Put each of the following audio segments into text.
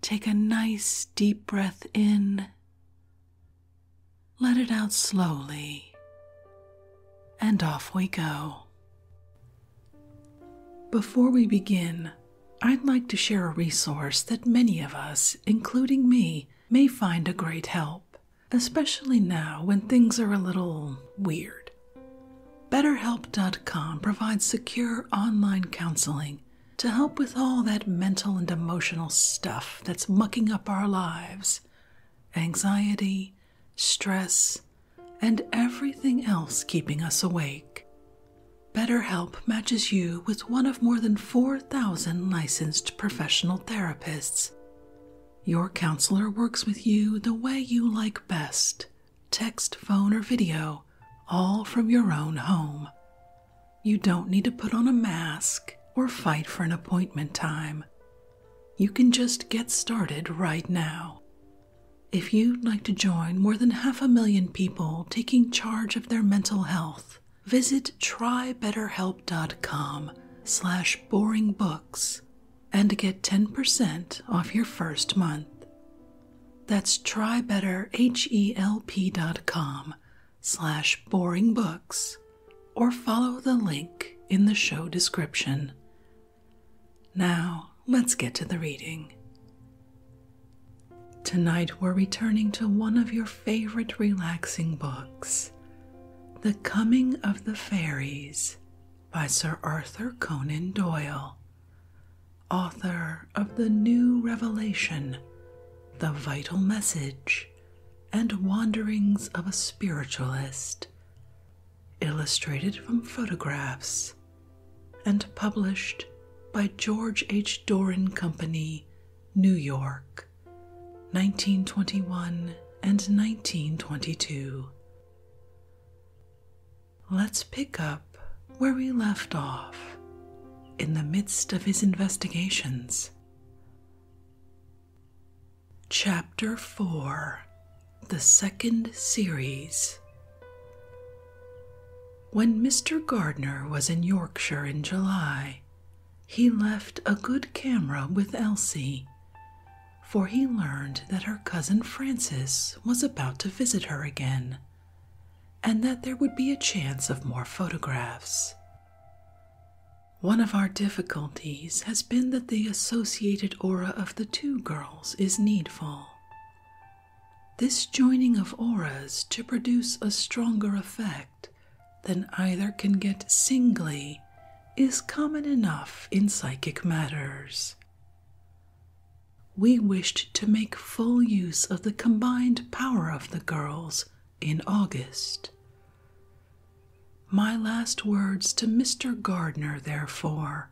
Take a nice deep breath in. Let it out slowly. And off we go. Before we begin, I'd like to share a resource that many of us, including me, may find a great help, especially now when things are a little weird. BetterHelp.com provides secure online counseling to help with all that mental and emotional stuff that's mucking up our lives anxiety, stress, and everything else keeping us awake. BetterHelp matches you with one of more than 4,000 licensed professional therapists. Your counselor works with you the way you like best text, phone, or video, all from your own home. You don't need to put on a mask or fight for an appointment time. You can just get started right now. If you'd like to join more than half a million people taking charge of their mental health, visit trybetterhelp.com slash boringbooks and get 10% off your first month. That's trybetterhelp.com slash boring books or follow the link in the show description. Now, let's get to the reading. Tonight, we're returning to one of your favorite relaxing books The Coming of the Fairies by Sir Arthur Conan Doyle author of the New Revelation, the Vital Message, and Wanderings of a Spiritualist, illustrated from photographs, and published by George H. Doran Company, New York, 1921 and 1922. Let's pick up where we left off in the midst of his investigations. Chapter 4 The Second Series When Mr. Gardner was in Yorkshire in July, he left a good camera with Elsie, for he learned that her cousin Frances was about to visit her again and that there would be a chance of more photographs. One of our difficulties has been that the associated aura of the two girls is needful. This joining of auras to produce a stronger effect than either can get singly is common enough in psychic matters. We wished to make full use of the combined power of the girls in August. My last words to Mr. Gardner, therefore,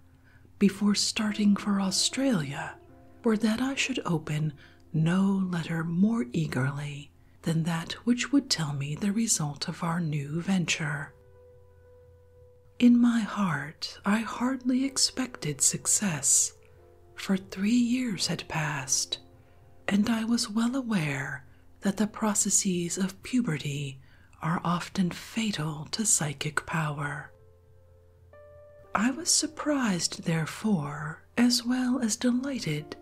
before starting for Australia, were that I should open no letter more eagerly than that which would tell me the result of our new venture. In my heart, I hardly expected success, for three years had passed, and I was well aware that the processes of puberty are often fatal to psychic power. I was surprised, therefore, as well as delighted,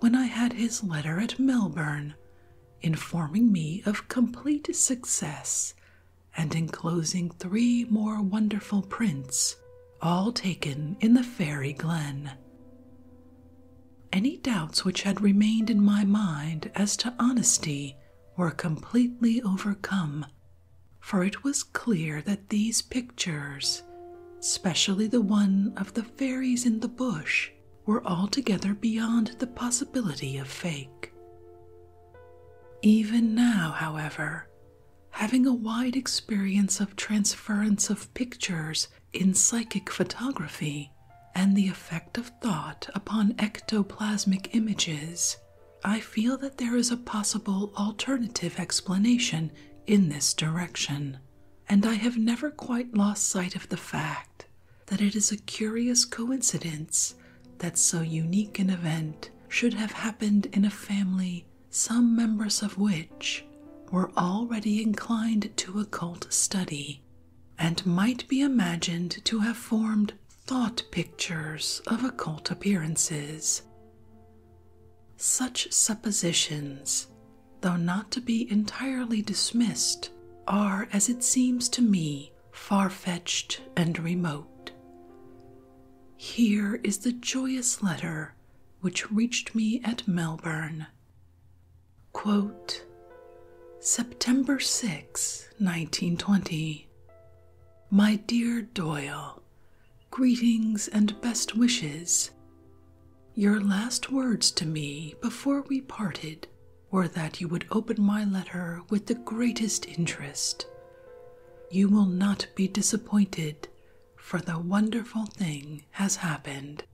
when I had his letter at Melbourne informing me of complete success and enclosing three more wonderful prints all taken in the fairy glen. Any doubts which had remained in my mind as to honesty were completely overcome, for it was clear that these pictures, especially the one of the fairies in the bush, were altogether beyond the possibility of fake. Even now, however, Having a wide experience of transference of pictures in psychic photography and the effect of thought upon ectoplasmic images, I feel that there is a possible alternative explanation in this direction, and I have never quite lost sight of the fact that it is a curious coincidence that so unique an event should have happened in a family some members of which were already inclined to occult study and might be imagined to have formed thought pictures of occult appearances. Such suppositions, though not to be entirely dismissed, are, as it seems to me, far fetched and remote. Here is the joyous letter which reached me at Melbourne. September 6, 1920. My dear Doyle, greetings and best wishes. Your last words to me before we parted were that you would open my letter with the greatest interest. You will not be disappointed, for the wonderful thing has happened.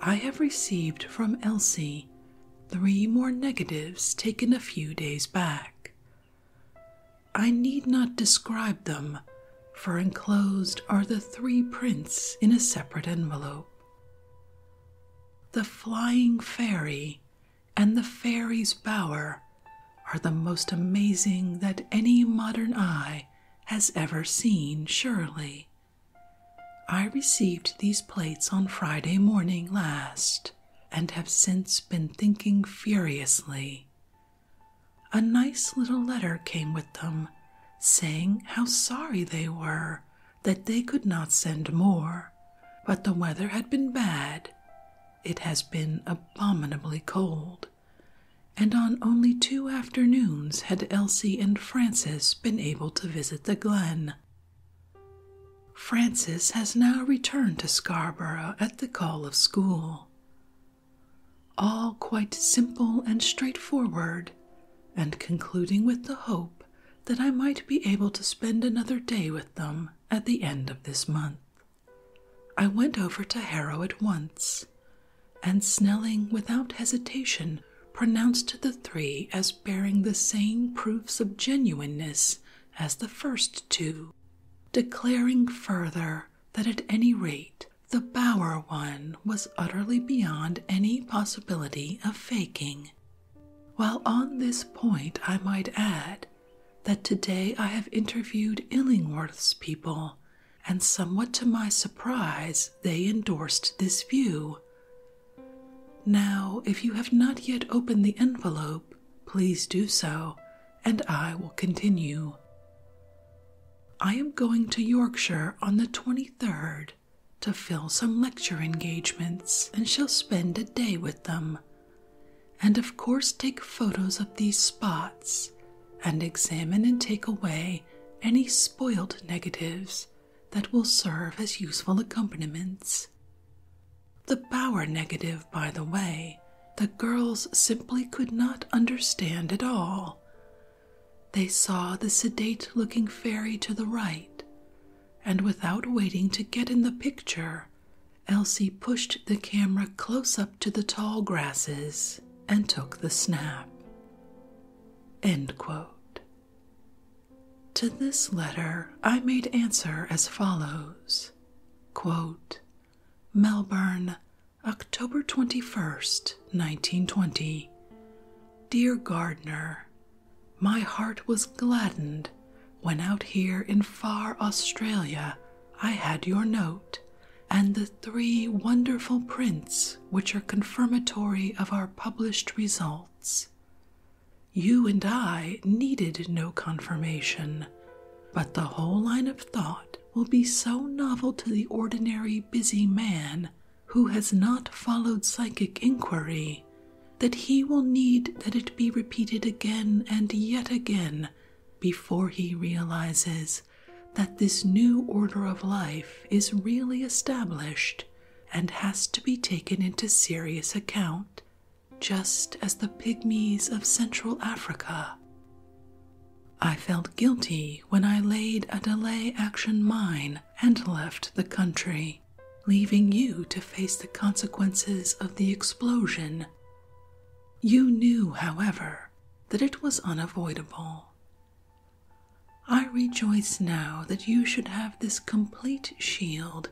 I have received from Elsie three more negatives taken a few days back. I need not describe them, for enclosed are the three prints in a separate envelope. The Flying Fairy and the Fairy's Bower are the most amazing that any modern eye has ever seen, surely. I received these plates on Friday morning last and have since been thinking furiously. A nice little letter came with them saying how sorry they were that they could not send more, but the weather had been bad. It has been abominably cold and on only two afternoons had Elsie and Frances been able to visit the glen. Frances has now returned to Scarborough at the call of school. All quite simple and straightforward, and concluding with the hope that I might be able to spend another day with them at the end of this month. I went over to Harrow at once, and Snelling, without hesitation, pronounced the three as bearing the same proofs of genuineness as the first two, declaring further that at any rate the Bower one was utterly beyond any possibility of faking. While on this point, I might add that today I have interviewed Illingworth's people and somewhat to my surprise, they endorsed this view. Now, if you have not yet opened the envelope, please do so, and I will continue. I am going to Yorkshire on the 23rd to fill some lecture engagements and shall spend a day with them, and of course take photos of these spots and examine and take away any spoiled negatives that will serve as useful accompaniments. The Bauer negative, by the way, the girls simply could not understand at all. They saw the sedate looking fairy to the right, and without waiting to get in the picture, Elsie pushed the camera close up to the tall grasses and took the snap. To this letter I made answer as follows Melbourne, October 21st, 1920. Dear Gardner, my heart was gladdened when out here in far Australia I had your note and the three wonderful prints which are confirmatory of our published results. You and I needed no confirmation, but the whole line of thought will be so novel to the ordinary busy man who has not followed psychic inquiry that he will need that it be repeated again and yet again before he realizes that this new order of life is really established and has to be taken into serious account, just as the pygmies of Central Africa. I felt guilty when I laid a delay action mine and left the country, leaving you to face the consequences of the explosion. You knew, however, that it was unavoidable. I rejoice now that you should have this complete shield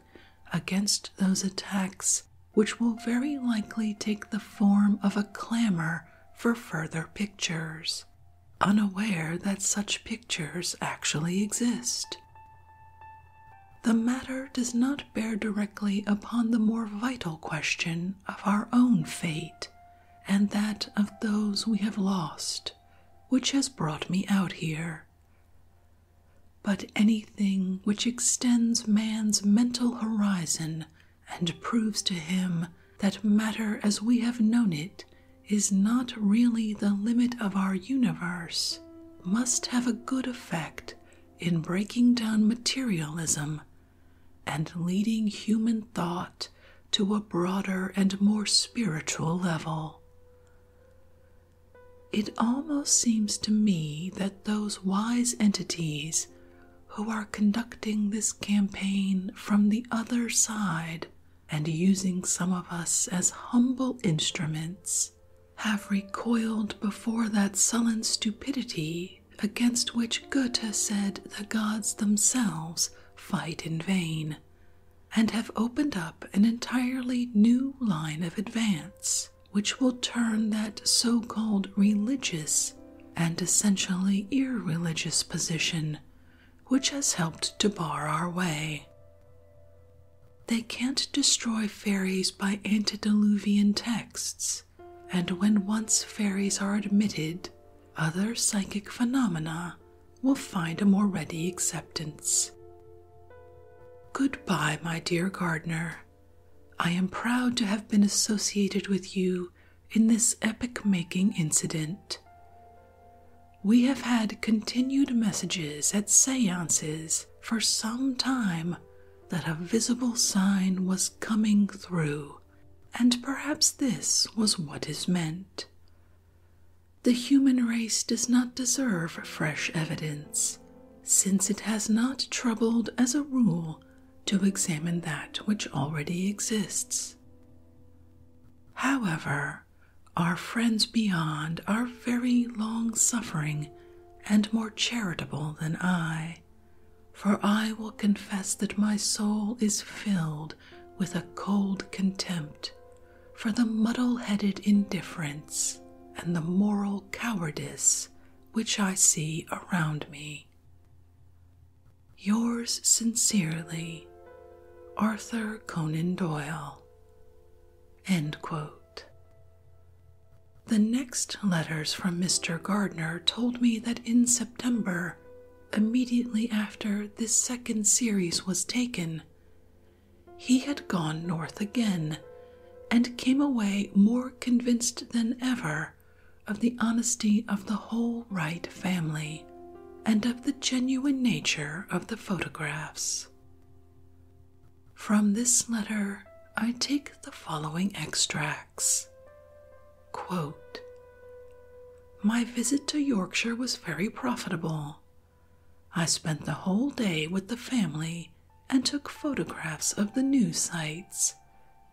against those attacks which will very likely take the form of a clamor for further pictures, unaware that such pictures actually exist. The matter does not bear directly upon the more vital question of our own fate and that of those we have lost, which has brought me out here. But anything which extends man's mental horizon and proves to him that matter as we have known it is not really the limit of our universe must have a good effect in breaking down materialism and leading human thought to a broader and more spiritual level. It almost seems to me that those wise entities who are conducting this campaign from the other side and using some of us as humble instruments have recoiled before that sullen stupidity against which Goethe said the gods themselves fight in vain, and have opened up an entirely new line of advance which will turn that so called religious and essentially irreligious position which has helped to bar our way. They can't destroy fairies by antediluvian texts and when once fairies are admitted, other psychic phenomena will find a more ready acceptance. Goodbye, my dear gardener. I am proud to have been associated with you in this epoch making incident. We have had continued messages at seances for some time that a visible sign was coming through and perhaps this was what is meant. The human race does not deserve fresh evidence, since it has not troubled, as a rule, to examine that which already exists. However, our friends beyond are very long suffering and more charitable than I, for I will confess that my soul is filled with a cold contempt for the muddle headed indifference and the moral cowardice which I see around me. Yours sincerely, Arthur Conan Doyle. The next letters from Mr. Gardner told me that in September immediately after this second series was taken. He had gone north again and came away more convinced than ever of the honesty of the whole Wright family and of the genuine nature of the photographs. From this letter, I take the following extracts. My visit to Yorkshire was very profitable. I spent the whole day with the family and took photographs of the new sites,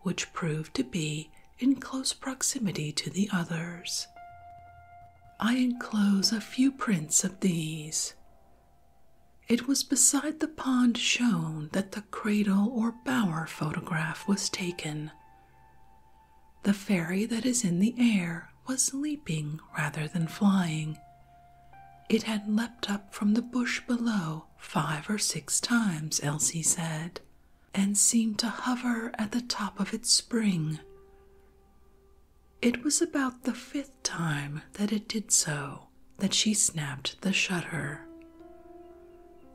which proved to be in close proximity to the others. I enclose a few prints of these. It was beside the pond shown that the cradle or bower photograph was taken, the fairy that is in the air was leaping rather than flying. It had leapt up from the bush below five or six times, Elsie said, and seemed to hover at the top of its spring. It was about the fifth time that it did so that she snapped the shutter.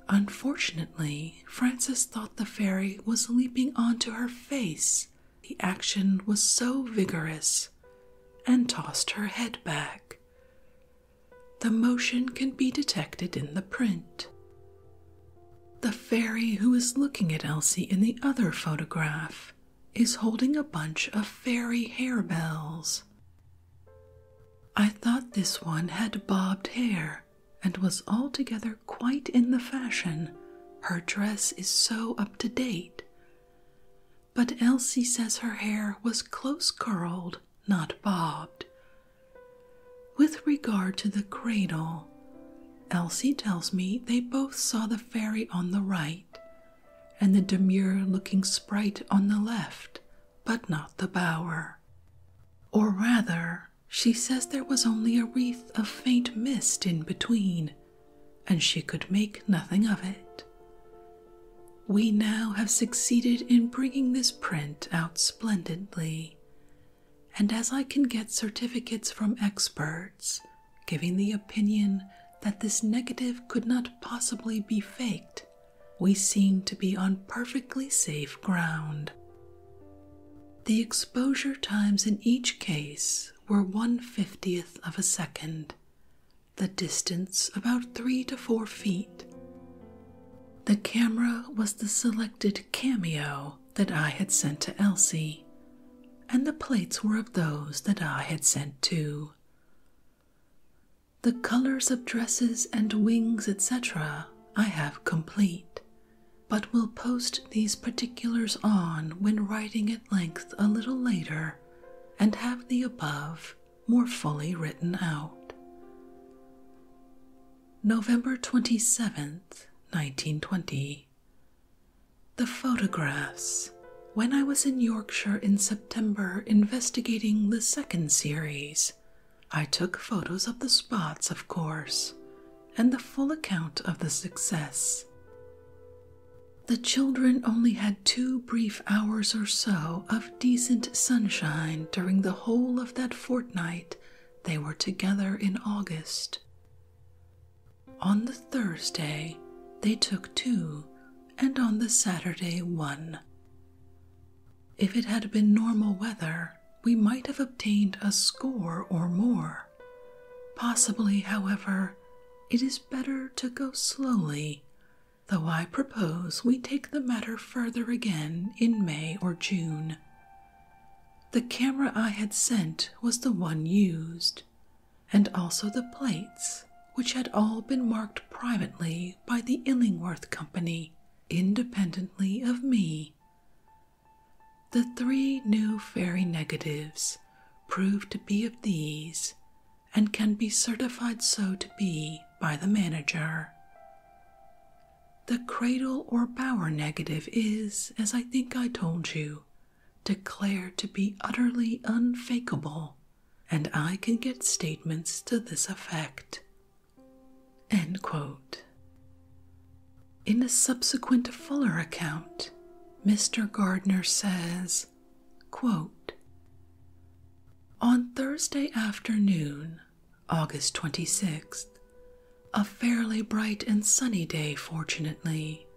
Unfortunately, Frances thought the fairy was leaping onto her face. The action was so vigorous and tossed her head back. The motion can be detected in the print. The fairy who is looking at Elsie in the other photograph is holding a bunch of fairy harebells. I thought this one had bobbed hair, and was altogether quite in the fashion. Her dress is so up to date. But Elsie says her hair was close curled, not bobbed. With regard to the cradle, Elsie tells me they both saw the fairy on the right and the demure looking sprite on the left, but not the bower. Or rather, she says there was only a wreath of faint mist in between, and she could make nothing of it. We now have succeeded in bringing this print out splendidly, and as I can get certificates from experts giving the opinion that this negative could not possibly be faked, we seem to be on perfectly safe ground. The exposure times in each case were one fiftieth of a second, the distance about 3 to 4 feet. The camera was the selected cameo that I had sent to Elsie, and the plates were of those that I had sent too. The colors of dresses and wings, etc., I have complete, but will post these particulars on when writing at length a little later and have the above more fully written out. November 27th, 1920. The photographs. When I was in Yorkshire in September investigating the second series, I took photos of the spots, of course, and the full account of the success. The children only had two brief hours or so of decent sunshine during the whole of that fortnight they were together in August. On the Thursday, they took two, and on the Saturday, one. If it had been normal weather, we might have obtained a score or more. Possibly, however, it is better to go slowly, though I propose we take the matter further again in May or June. The camera I had sent was the one used, and also the plates, which had all been marked privately by the Illingworth Company, independently of me. The three new fairy negatives prove to be of these and can be certified so to be by the manager. The cradle or bower negative is, as I think I told you, declared to be utterly unfakeable, and I can get statements to this effect in a subsequent fuller account, Mr. Gardner says, On Thursday afternoon, August 26th, a fairly bright and sunny day, fortunately,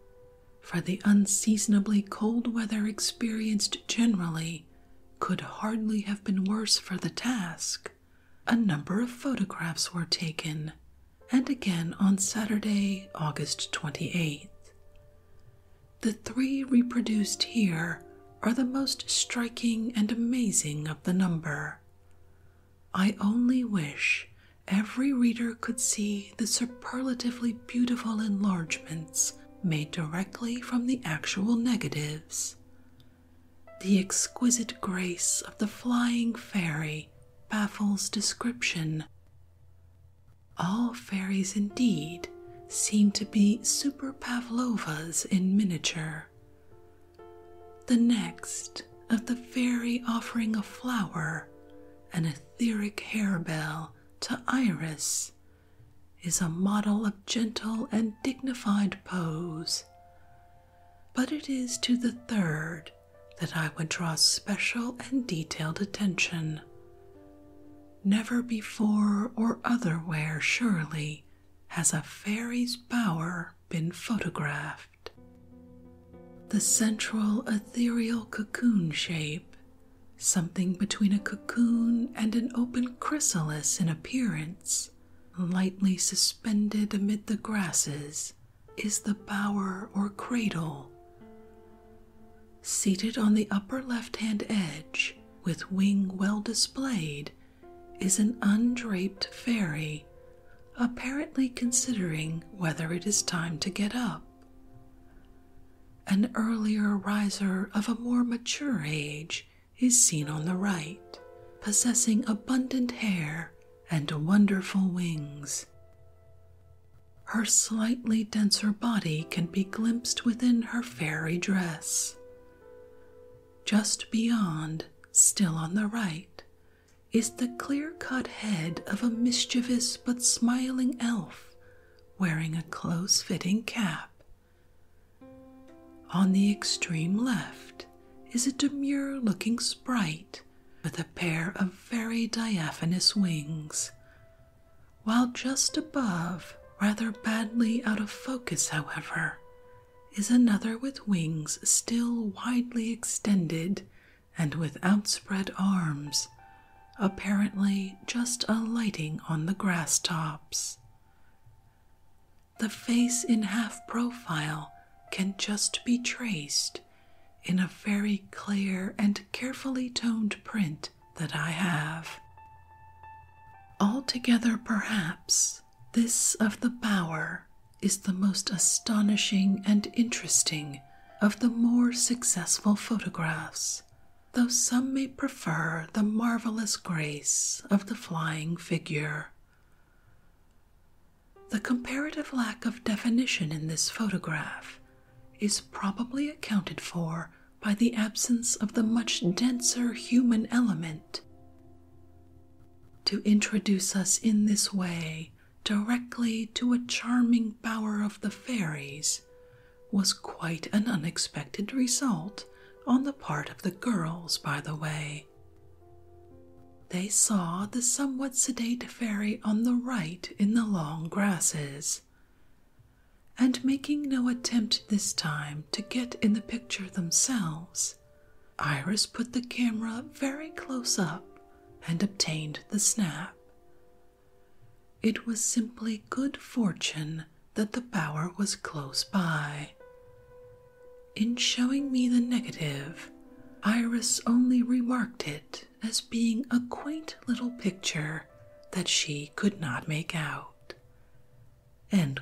for the unseasonably cold weather experienced generally could hardly have been worse for the task a number of photographs were taken, and again on Saturday, August 28th. The three reproduced here are the most striking and amazing of the number. I only wish every reader could see the superlatively beautiful enlargements made directly from the actual negatives. The exquisite grace of the flying fairy baffles description. All fairies, indeed, seem to be super Pavlovas in miniature. The next, of the fairy offering a flower, an etheric harebell, to Iris, is a model of gentle and dignified pose, but it is to the third that I would draw special and detailed attention. Never before or otherwhere, surely, has a fairy's bower been photographed. The central ethereal cocoon shape, something between a cocoon and an open chrysalis in appearance, lightly suspended amid the grasses is the bower or cradle. Seated on the upper left hand edge, with wing well displayed, is an undraped fairy, apparently considering whether it is time to get up. An earlier riser of a more mature age is seen on the right, possessing abundant hair and wonderful wings. Her slightly denser body can be glimpsed within her fairy dress. Just beyond, still on the right, is the clear cut head of a mischievous but smiling elf wearing a close fitting cap. On the extreme left is a demure looking sprite with a pair of very diaphanous wings. While just above, rather badly out of focus, however, is another with wings still widely extended and with outspread arms, apparently just alighting on the grass tops. The face in half profile can just be traced in a very clear and carefully toned print that I have. Altogether, perhaps, this of the bower is the most astonishing and interesting of the more successful photographs, though some may prefer the marvelous grace of the flying figure. The comparative lack of definition in this photograph is probably accounted for by the absence of the much denser human element. To introduce us in this way directly to a charming bower of the fairies was quite an unexpected result on the part of the girls, by the way. They saw the somewhat sedate fairy on the right in the long grasses, and making no attempt this time to get in the picture themselves, Iris put the camera very close up and obtained the snap. It was simply good fortune that the bower was close by. In showing me the negative, Iris only remarked it as being a quaint little picture that she could not make out. There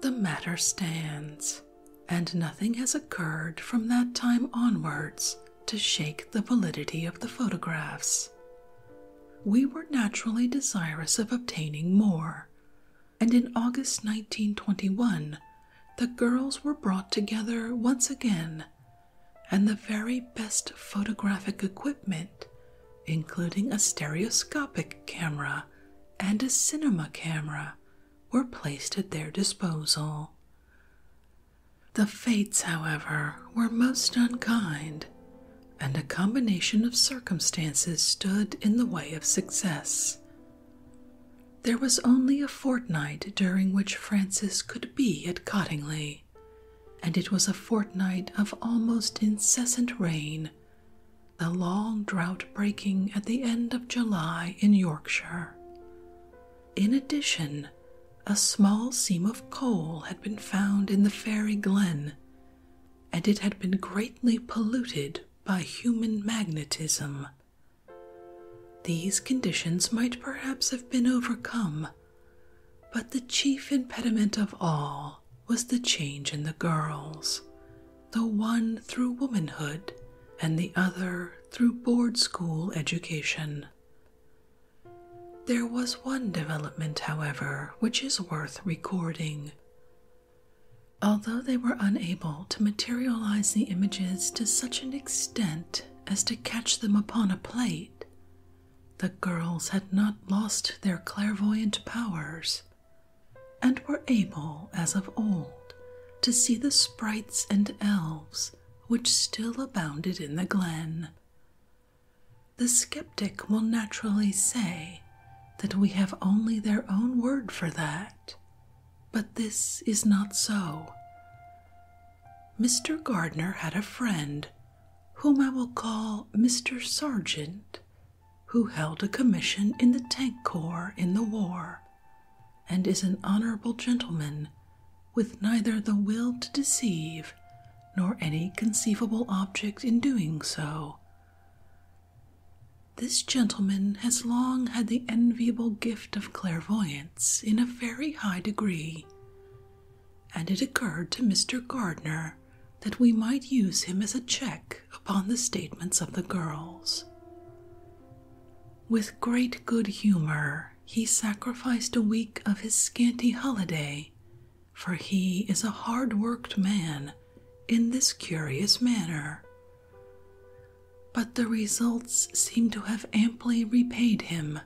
the matter stands, and nothing has occurred from that time onwards to shake the validity of the photographs. We were naturally desirous of obtaining more, and in August 1921, the girls were brought together once again, and the very best photographic equipment, including a stereoscopic camera and a cinema camera, were placed at their disposal. The fates, however, were most unkind, and a combination of circumstances stood in the way of success, there was only a fortnight during which Francis could be at Cottingley, and it was a fortnight of almost incessant rain, the long drought breaking at the end of July in Yorkshire. In addition, a small seam of coal had been found in the fairy glen, and it had been greatly polluted by human magnetism. These conditions might perhaps have been overcome, but the chief impediment of all was the change in the girls, the one through womanhood and the other through board school education. There was one development, however, which is worth recording. Although they were unable to materialize the images to such an extent as to catch them upon a plate, the girls had not lost their clairvoyant powers and were able, as of old, to see the sprites and elves which still abounded in the glen. The skeptic will naturally say that we have only their own word for that, but this is not so. Mr. Gardner had a friend, whom I will call Mr. Sargent, who held a commission in the Tank Corps in the war, and is an honorable gentleman with neither the will to deceive nor any conceivable object in doing so. This gentleman has long had the enviable gift of clairvoyance in a very high degree, and it occurred to Mr. Gardner that we might use him as a check upon the statements of the girls. With great good humor, he sacrificed a week of his scanty holiday, for he is a hard worked man, in this curious manner but the results seem to have amply repaid him.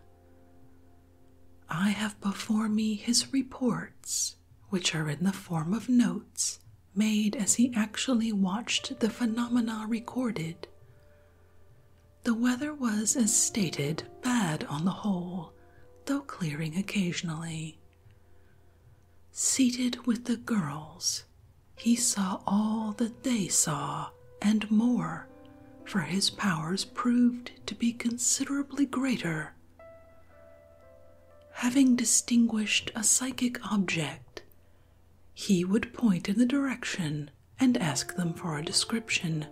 I have before me his reports, which are in the form of notes made as he actually watched the phenomena recorded. The weather was, as stated, bad on the whole, though clearing occasionally. Seated with the girls, he saw all that they saw, and more, for his powers proved to be considerably greater. Having distinguished a psychic object, he would point in the direction and ask them for a description,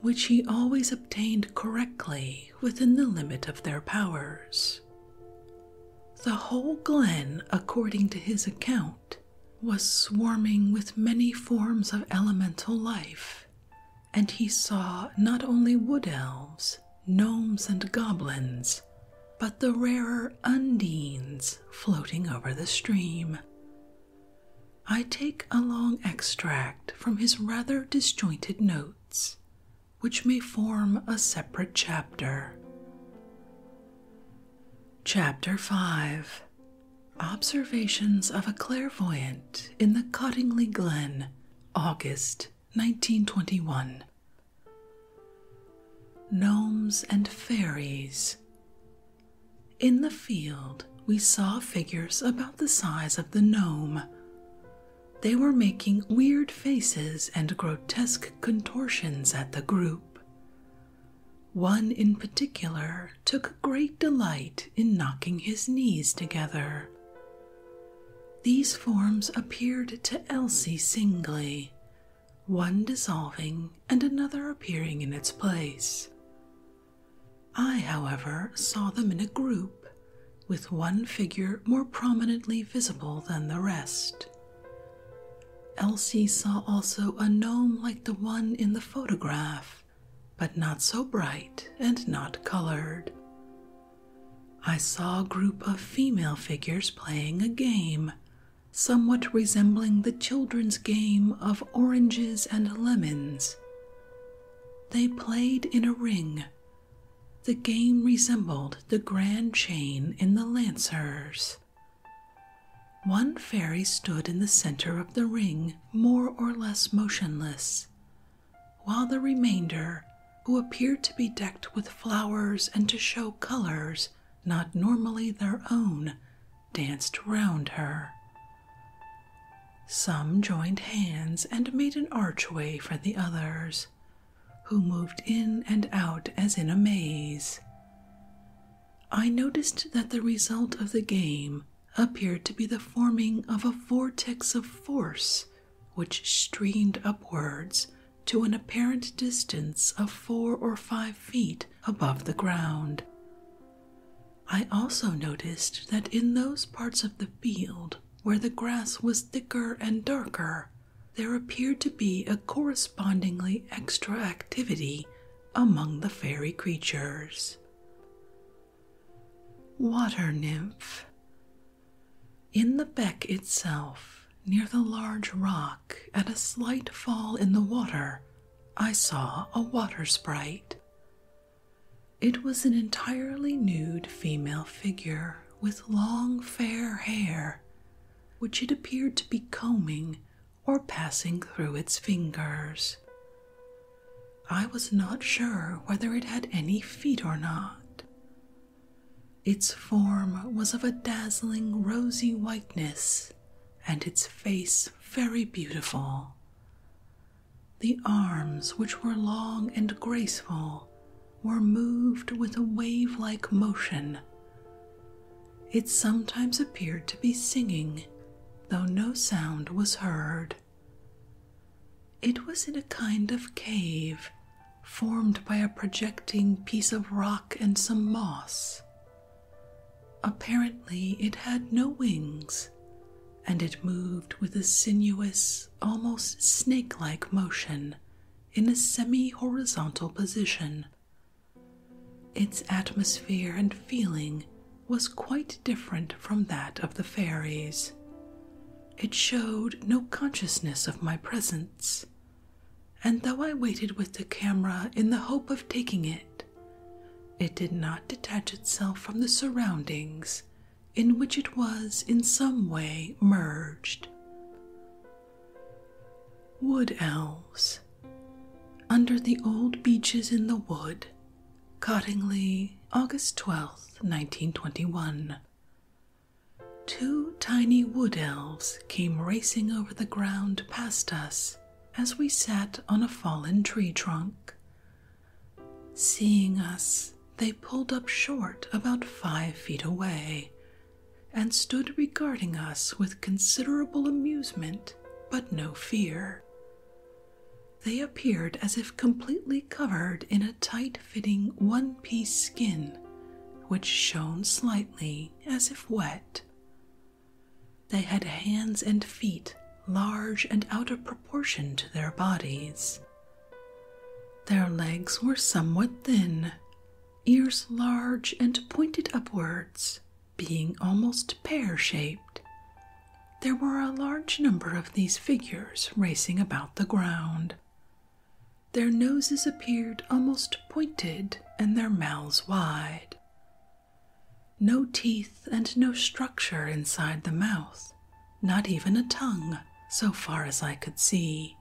which he always obtained correctly within the limit of their powers. The whole glen, according to his account, was swarming with many forms of elemental life, and he saw not only wood elves, gnomes, and goblins, but the rarer undines floating over the stream. I take a long extract from his rather disjointed notes, which may form a separate chapter. Chapter 5 Observations of a Clairvoyant in the Cottingley Glen, August 1921. Gnomes and Fairies. In the field, we saw figures about the size of the gnome. They were making weird faces and grotesque contortions at the group. One in particular took great delight in knocking his knees together. These forms appeared to Elsie singly, one dissolving and another appearing in its place. I, however, saw them in a group, with one figure more prominently visible than the rest. Elsie saw also a gnome like the one in the photograph, but not so bright and not colored. I saw a group of female figures playing a game, somewhat resembling the children's game of oranges and lemons. They played in a ring. The game resembled the grand chain in the Lancers. One fairy stood in the center of the ring, more or less motionless, while the remainder, who appeared to be decked with flowers and to show colors not normally their own, danced round her. Some joined hands and made an archway for the others, who moved in and out as in a maze. I noticed that the result of the game appeared to be the forming of a vortex of force which streamed upwards to an apparent distance of four or five feet above the ground. I also noticed that in those parts of the field where the grass was thicker and darker, there appeared to be a correspondingly extra activity among the fairy creatures. Water nymph. In the beck itself, near the large rock, at a slight fall in the water, I saw a water sprite. It was an entirely nude female figure with long fair hair, which it appeared to be combing or passing through its fingers. I was not sure whether it had any feet or not. Its form was of a dazzling rosy whiteness, and its face very beautiful. The arms, which were long and graceful, were moved with a wave like motion, it sometimes appeared to be singing, though no sound was heard. It was in a kind of cave, formed by a projecting piece of rock and some moss. Apparently, it had no wings, and it moved with a sinuous, almost snake like motion in a semi horizontal position. Its atmosphere and feeling was quite different from that of the fairies. It showed no consciousness of my presence, and though I waited with the camera in the hope of taking it, it did not detach itself from the surroundings in which it was in some way merged. Wood elves. Under the old beeches in the wood, Cottingley, August 12th, 1921. Two tiny wood elves came racing over the ground past us as we sat on a fallen tree trunk. Seeing us, they pulled up short about five feet away and stood regarding us with considerable amusement but no fear. They appeared as if completely covered in a tight fitting one piece skin, which shone slightly as if wet. They had hands and feet large and out of proportion to their bodies. Their legs were somewhat thin, ears large and pointed upwards, being almost pear shaped. There were a large number of these figures racing about the ground. Their noses appeared almost pointed and their mouths wide. No teeth and no structure inside the mouth, not even a tongue, so far as I could see.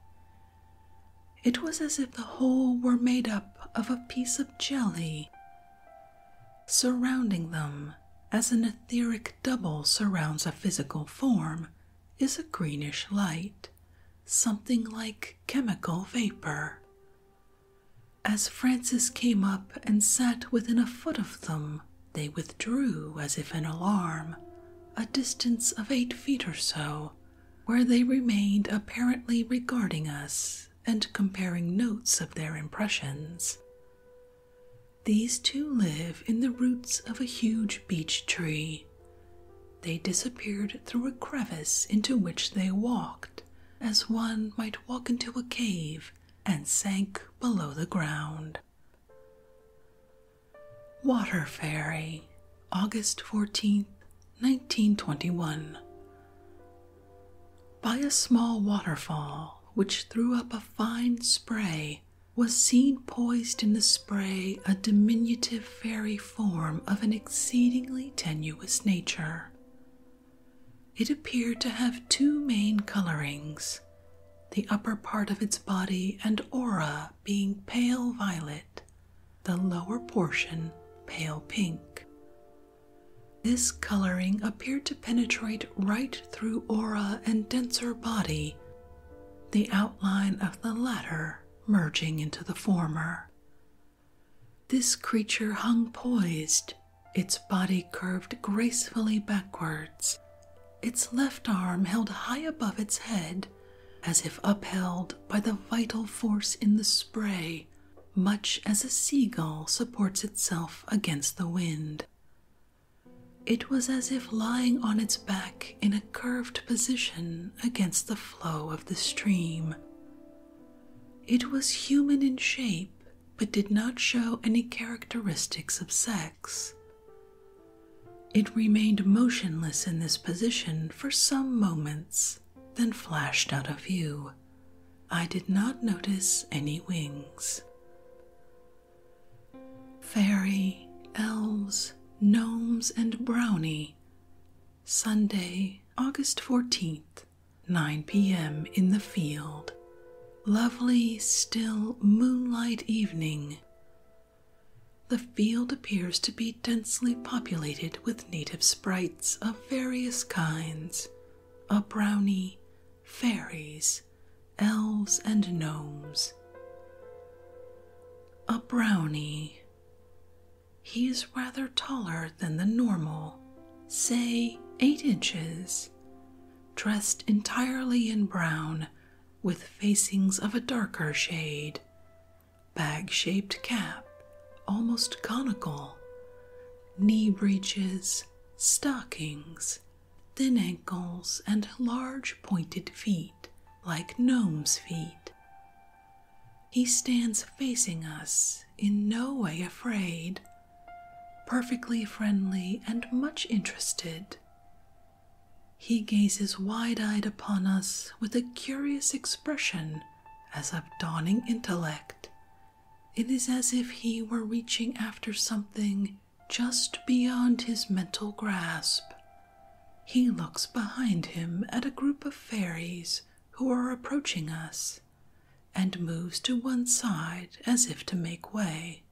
It was as if the whole were made up of a piece of jelly, surrounding them as an etheric double surrounds a physical form. Is a greenish light, something like chemical vapor. As Francis came up and sat within a foot of them, they withdrew as if in alarm, a distance of eight feet or so, where they remained apparently regarding us and comparing notes of their impressions. These two live in the roots of a huge beech tree. They disappeared through a crevice into which they walked, as one might walk into a cave, and sank below the ground. Water Fairy, August 14th 1921, by a small waterfall which threw up a fine spray. Was seen poised in the spray a diminutive fairy form of an exceedingly tenuous nature. It appeared to have two main colorings, the upper part of its body and aura being pale violet, the lower portion pale pink. This coloring appeared to penetrate right through aura and denser body, the outline of the latter merging into the former. This creature hung poised, its body curved gracefully backwards, its left arm held high above its head, as if upheld by the vital force in the spray much as a seagull supports itself against the wind. It was as if lying on its back in a curved position against the flow of the stream. It was human in shape, but did not show any characteristics of sex. It remained motionless in this position for some moments, then flashed out of view. I did not notice any wings. Fairy, elves, gnomes, and brownie. Sunday, August 14th, 9 p.m. in the field. Lovely, still moonlight evening. The field appears to be densely populated with native sprites of various kinds a brownie, fairies, elves, and gnomes. A brownie. He is rather taller than the normal, say eight inches, dressed entirely in brown with facings of a darker shade, bag shaped cap, almost conical, knee breeches, stockings, thin ankles, and large pointed feet like gnome's feet. He stands facing us, in no way afraid, perfectly friendly and much interested. He gazes wide eyed upon us with a curious expression as of dawning intellect, it is as if he were reaching after something just beyond his mental grasp. He looks behind him at a group of fairies who are approaching us and moves to one side as if to make way.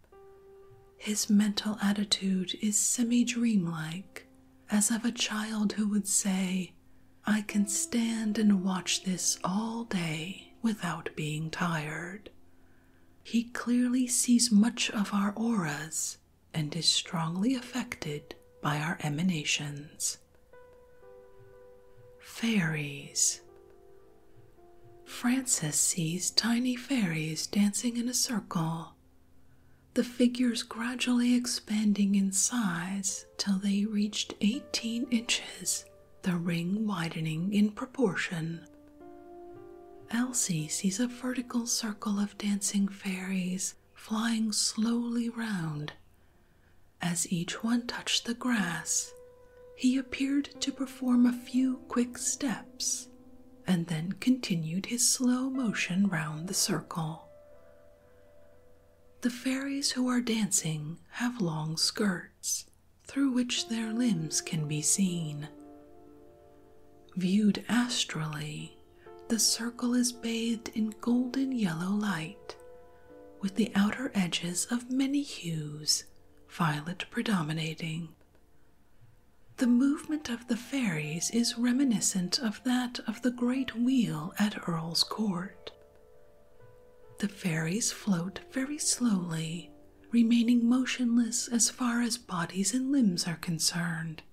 His mental attitude is semi dreamlike, as of a child who would say, I can stand and watch this all day without being tired. He clearly sees much of our auras and is strongly affected by our emanations. Fairies. Francis sees tiny fairies dancing in a circle, the figures gradually expanding in size till they reached 18 inches, the ring widening in proportion. Elsie sees a vertical circle of dancing fairies flying slowly round. As each one touched the grass, he appeared to perform a few quick steps and then continued his slow motion round the circle. The fairies who are dancing have long skirts through which their limbs can be seen. Viewed astrally, the circle is bathed in golden yellow light, with the outer edges of many hues, violet predominating. The movement of the fairies is reminiscent of that of the great wheel at Earl's Court, the fairies float very slowly, remaining motionless as far as bodies and limbs are concerned,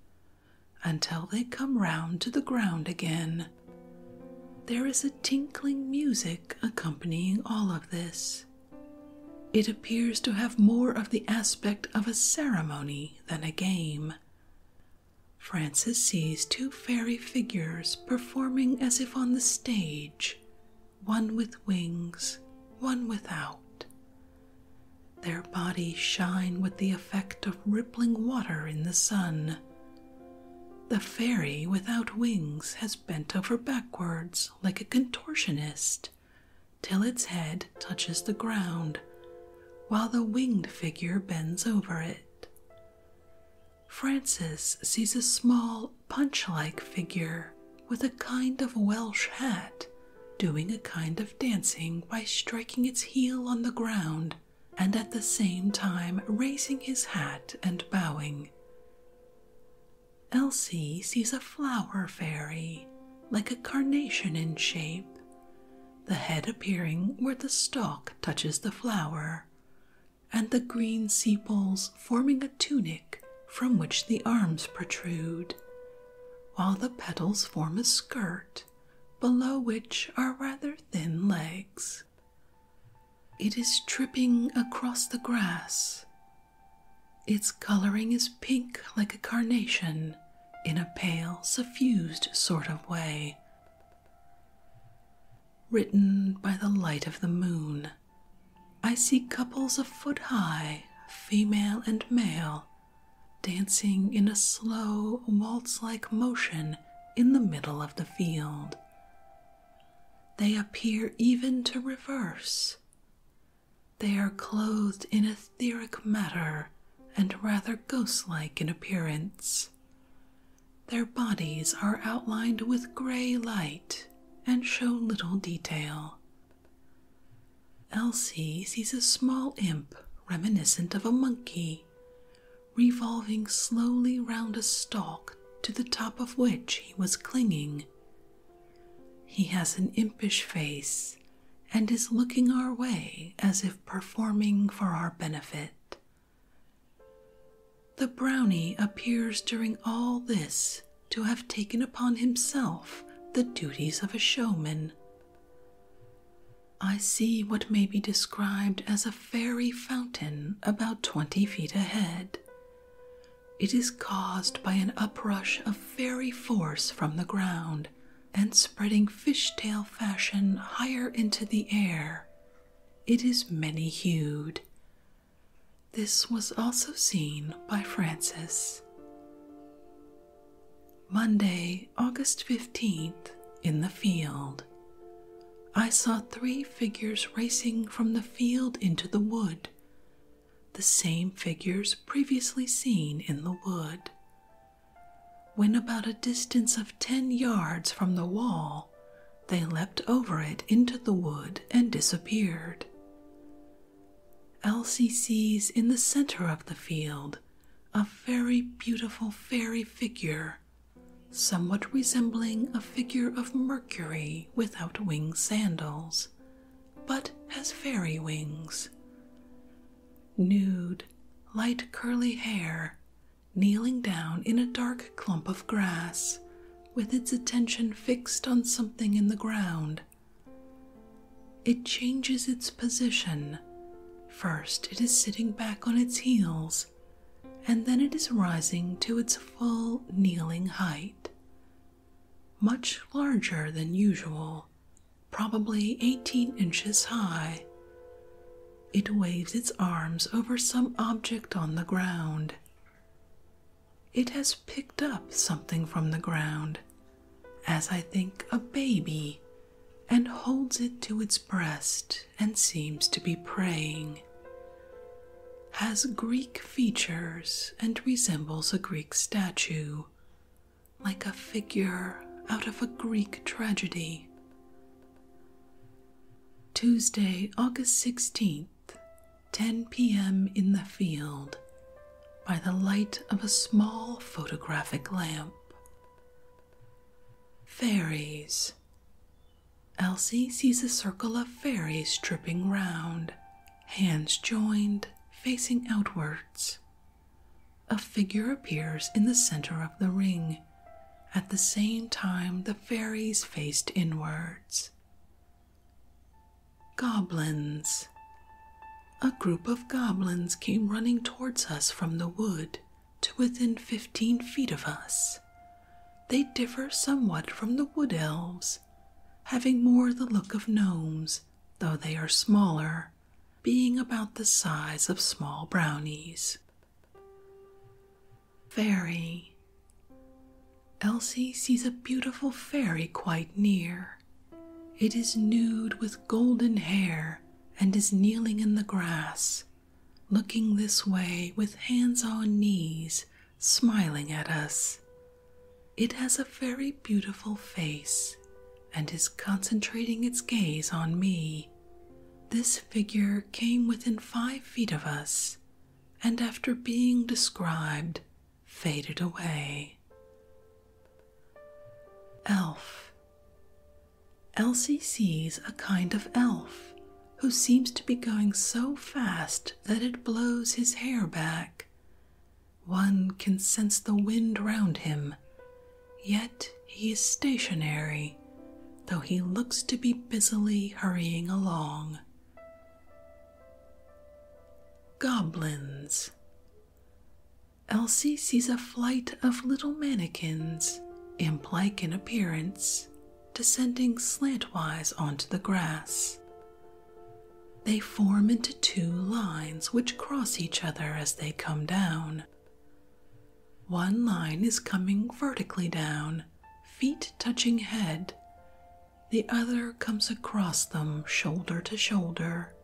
until they come round to the ground again. There is a tinkling music accompanying all of this. It appears to have more of the aspect of a ceremony than a game. Francis sees two fairy figures performing as if on the stage, one with wings, one without. Their bodies shine with the effect of rippling water in the sun. The fairy without wings has bent over backwards like a contortionist till its head touches the ground, while the winged figure bends over it. Francis sees a small punch like figure with a kind of Welsh hat doing a kind of dancing by striking its heel on the ground and at the same time raising his hat and bowing. Elsie sees a flower fairy, like a carnation in shape, the head appearing where the stalk touches the flower, and the green sepals forming a tunic from which the arms protrude, while the petals form a skirt below which are rather thin legs. It is tripping across the grass. Its coloring is pink like a carnation in a pale, suffused sort of way written by the light of the moon. I see couples a foot high, female and male, dancing in a slow, waltz like motion in the middle of the field. They appear even to reverse. They are clothed in etheric matter and rather ghost like in appearance. Their bodies are outlined with gray light and show little detail. Elsie sees a small imp reminiscent of a monkey revolving slowly round a stalk to the top of which he was clinging. He has an impish face and is looking our way as if performing for our benefit. The brownie appears during all this to have taken upon himself the duties of a showman. I see what may be described as a fairy fountain about twenty feet ahead. It is caused by an uprush of fairy force from the ground and spreading fishtail fashion higher into the air. It is many hued this was also seen by Francis. Monday, August 15th, in the field. I saw three figures racing from the field into the wood, the same figures previously seen in the wood. When about a distance of ten yards from the wall, they leapt over it into the wood and disappeared. Elsie sees in the center of the field a very beautiful fairy figure, somewhat resembling a figure of Mercury without wing sandals, but has fairy wings. Nude, light curly hair, kneeling down in a dark clump of grass, with its attention fixed on something in the ground. It changes its position. First, it is sitting back on its heels, and then it is rising to its full kneeling height. Much larger than usual, probably 18 inches high. It waves its arms over some object on the ground, it has picked up something from the ground, as I think a baby, and holds it to its breast and seems to be praying. Has Greek features and resembles a Greek statue, like a figure out of a Greek tragedy. Tuesday, August 16th. 10 p.m. in the field, by the light of a small photographic lamp. Fairies. Elsie sees a circle of fairies tripping round, hands joined, facing outwards. A figure appears in the center of the ring. At the same time, the fairies faced inwards. Goblins. A group of goblins came running towards us from the wood to within fifteen feet of us. They differ somewhat from the wood elves, having more the look of gnomes, though they are smaller, being about the size of small brownies. Fairy. Elsie sees a beautiful fairy quite near. It is nude with golden hair and is kneeling in the grass, looking this way with hands on knees, smiling at us. It has a very beautiful face and is concentrating its gaze on me. This figure came within five feet of us and after being described, faded away. Elf. Elsie sees a kind of elf who seems to be going so fast that it blows his hair back. One can sense the wind round him, yet he is stationary, though he looks to be busily hurrying along. Goblins. Elsie sees a flight of little mannequins, imp-like in appearance, descending slantwise onto the grass. They form into two lines which cross each other as they come down. One line is coming vertically down, feet touching head, the other comes across them shoulder to shoulder.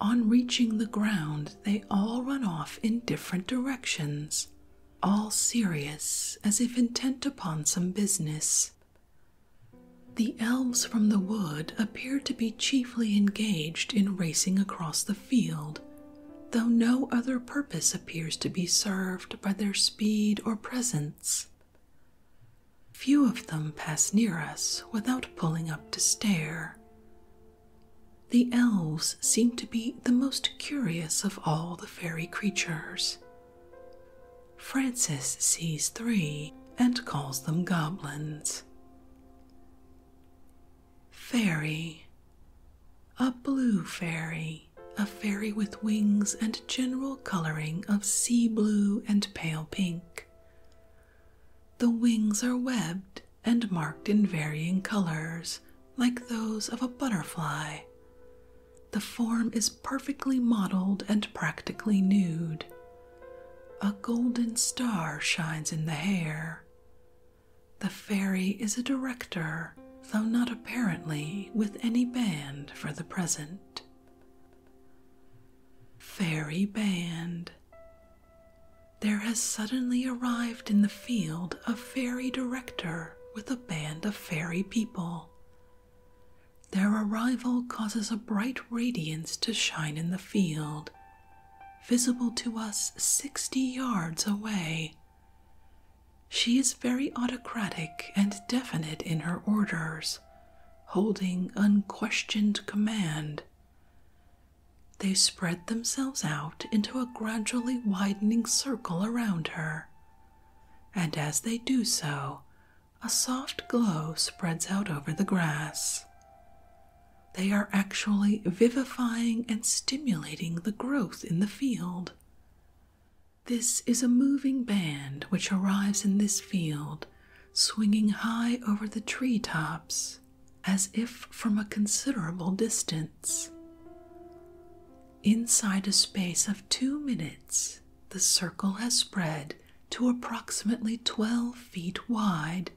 On reaching the ground, they all run off in different directions, all serious as if intent upon some business. The elves from the wood appear to be chiefly engaged in racing across the field, though no other purpose purpose appears to be served by their speed or presence. Few of them pass near us without pulling up to stare. The elves seem to be the most curious of all the fairy creatures. Francis sees three and calls them goblins. Fairy, a blue fairy a fairy with wings and general coloring of sea blue and pale pink. The wings are webbed and marked in varying colors, like those of a butterfly. The form is perfectly modeled and practically nude. A golden star shines in the hair. The fairy is a director though not apparently with any band for the present. Fairy Band. There has suddenly arrived in the field a fairy director with a band of fairy people. Their arrival causes a bright radiance to shine in the field, visible to us sixty yards away she is very autocratic and definite in her orders, holding unquestioned command. They spread themselves out into a gradually widening circle around her, and as they do so, a soft glow spreads out over the grass. They are actually vivifying and stimulating the growth in the field. This is a moving band which arrives in this field, swinging high over the tree tops, as if from a considerable distance. Inside a space of two minutes, the circle has spread to approximately 12 feet wide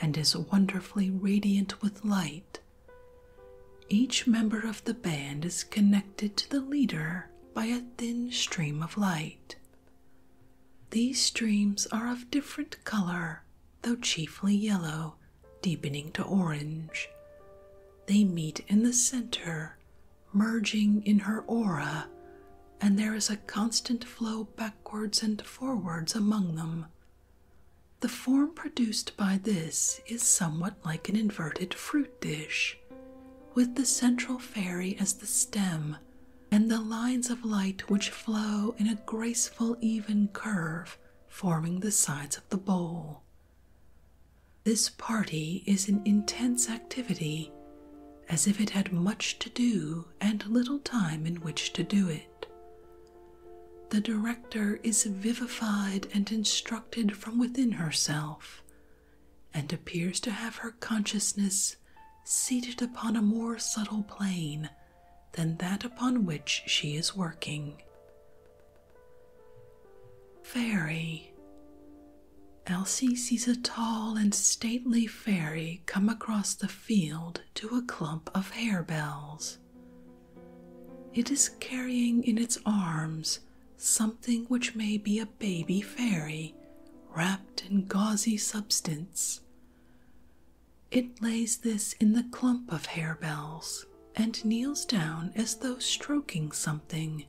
and is wonderfully radiant with light, each member of the band is connected to the leader by a thin stream of light. These streams are of different color, though chiefly yellow, deepening to orange. They meet in the center, merging in her aura, and there is a constant flow backwards and forwards among them. The form produced by this is somewhat like an inverted fruit dish, with the central fairy as the stem and the lines of light which flow in a graceful, even curve forming the sides of the bowl. This party is an intense activity, as if it had much to do and little time in which to do it. The director is vivified and instructed from within herself and appears to have her consciousness seated upon a more subtle plane than that upon which she is working. Fairy. Elsie sees a tall and stately fairy come across the field to a clump of harebells. It is carrying in its arms something which may be a baby fairy wrapped in gauzy substance. It lays this in the clump of harebells and kneels down as though stroking something,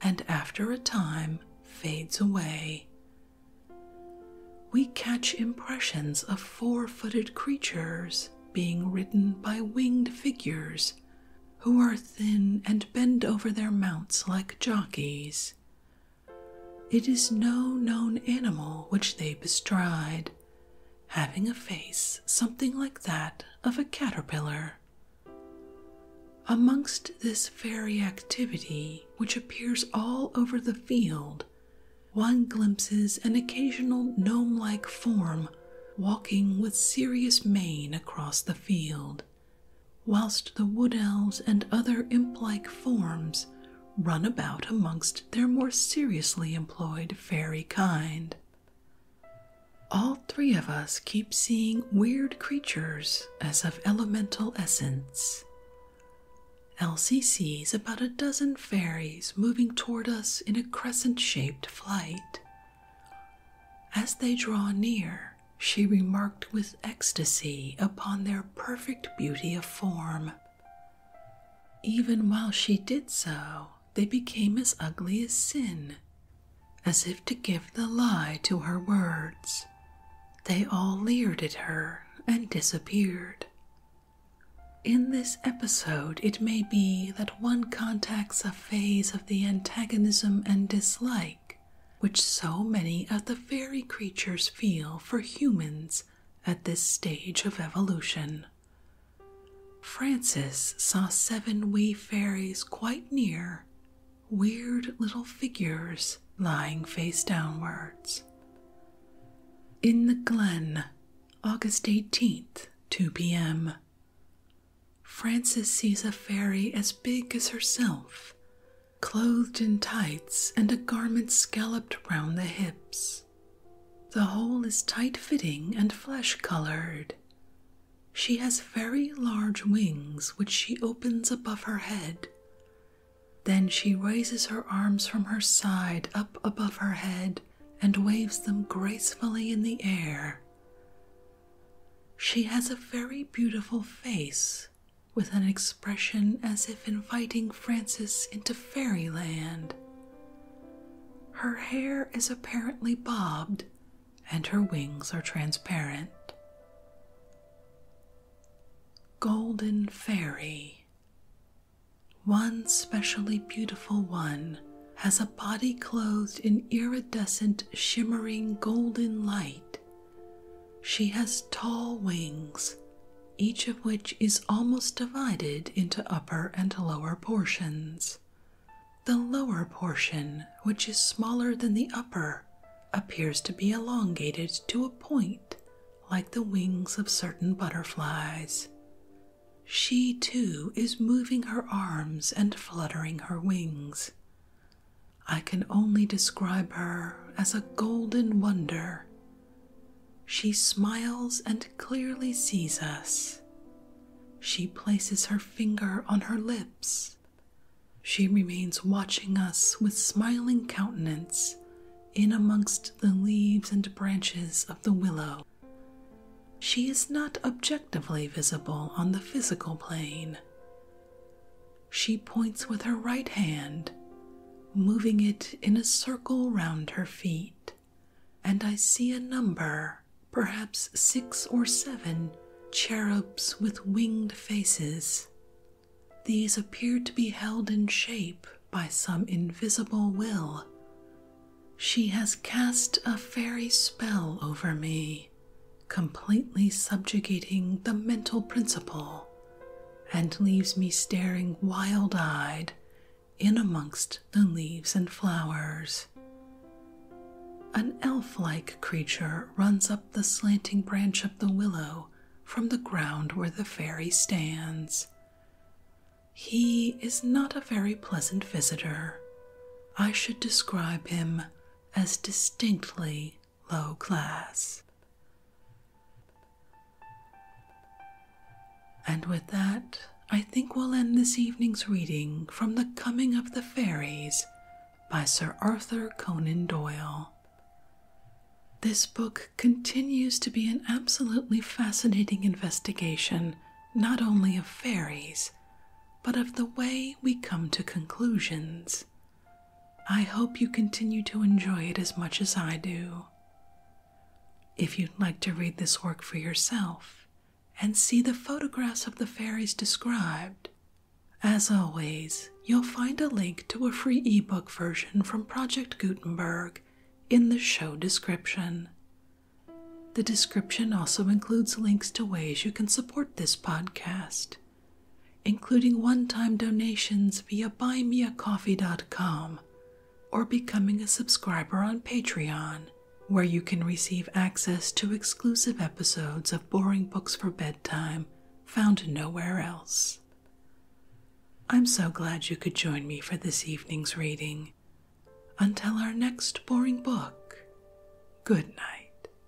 and after a time fades away. We catch impressions of four footed creatures being ridden by winged figures who are thin and bend over their mounts like jockeys. It is no known animal which they bestride, having a face something like that of a caterpillar. Amongst this fairy activity, which appears all over the field, one glimpses an occasional gnome like form walking with serious mien across the field, whilst the wood elves and other imp like forms run about amongst their more seriously employed fairy kind. All three of us keep seeing weird creatures as of elemental essence. Elsie sees about a dozen fairies moving toward us in a crescent shaped flight. As they draw near, she remarked with ecstasy upon their perfect beauty of form. Even while she did so, they became as ugly as sin, as if to give the lie to her words. They all leered at her and disappeared. In this episode, it may be that one contacts a phase of the antagonism and dislike which so many of the fairy creatures feel for humans at this stage of evolution. Francis saw seven wee fairies quite near, weird little figures lying face downwards. In the Glen, August 18th, 2 p.m. Frances sees a fairy as big as herself, clothed in tights and a garment scalloped round the hips. The whole is tight fitting and flesh colored. She has very large wings which she opens above her head. Then she raises her arms from her side up above her head and waves them gracefully in the air. She has a very beautiful face, with an expression as if inviting Francis into fairyland. Her hair is apparently bobbed, and her wings are transparent. Golden Fairy. One specially beautiful one has a body clothed in iridescent, shimmering golden light. She has tall wings, each of which is almost divided into upper and lower portions. The lower portion, which is smaller than the upper, appears to be elongated to a point like the wings of certain butterflies. She too is moving her arms and fluttering her wings. I can only describe her as a golden wonder. She smiles and clearly sees us. She places her finger on her lips. She remains watching us with smiling countenance in amongst the leaves and branches of the willow. She is not objectively visible on the physical plane, she points with her right hand, moving it in a circle round her feet, and I see a number, perhaps six or seven, cherubs with winged faces. These appear to be held in shape by some invisible will. She has cast a fairy spell over me completely subjugating the mental principle, and leaves me staring wild eyed in amongst the leaves and flowers. An elf like creature runs up the slanting branch of the willow from the ground where the fairy stands. He is not a very pleasant visitor. I should describe him as distinctly low class. And with that, I think we'll end this evening's reading from The Coming of the Fairies by Sir Arthur Conan Doyle. This book continues to be an absolutely fascinating investigation not only of fairies, but of the way we come to conclusions. I hope you continue to enjoy it as much as I do. If you'd like to read this work for yourself and see the photographs of the fairies described, as always, you'll find a link to a free ebook version from Project Gutenberg in the show description. The description also includes links to ways you can support this podcast including one time donations via buymeacoffee.com or becoming a subscriber on Patreon, where you can receive access to exclusive episodes of boring books for bedtime found nowhere else. I'm so glad you could join me for this evening's reading. Until our next boring book, good night.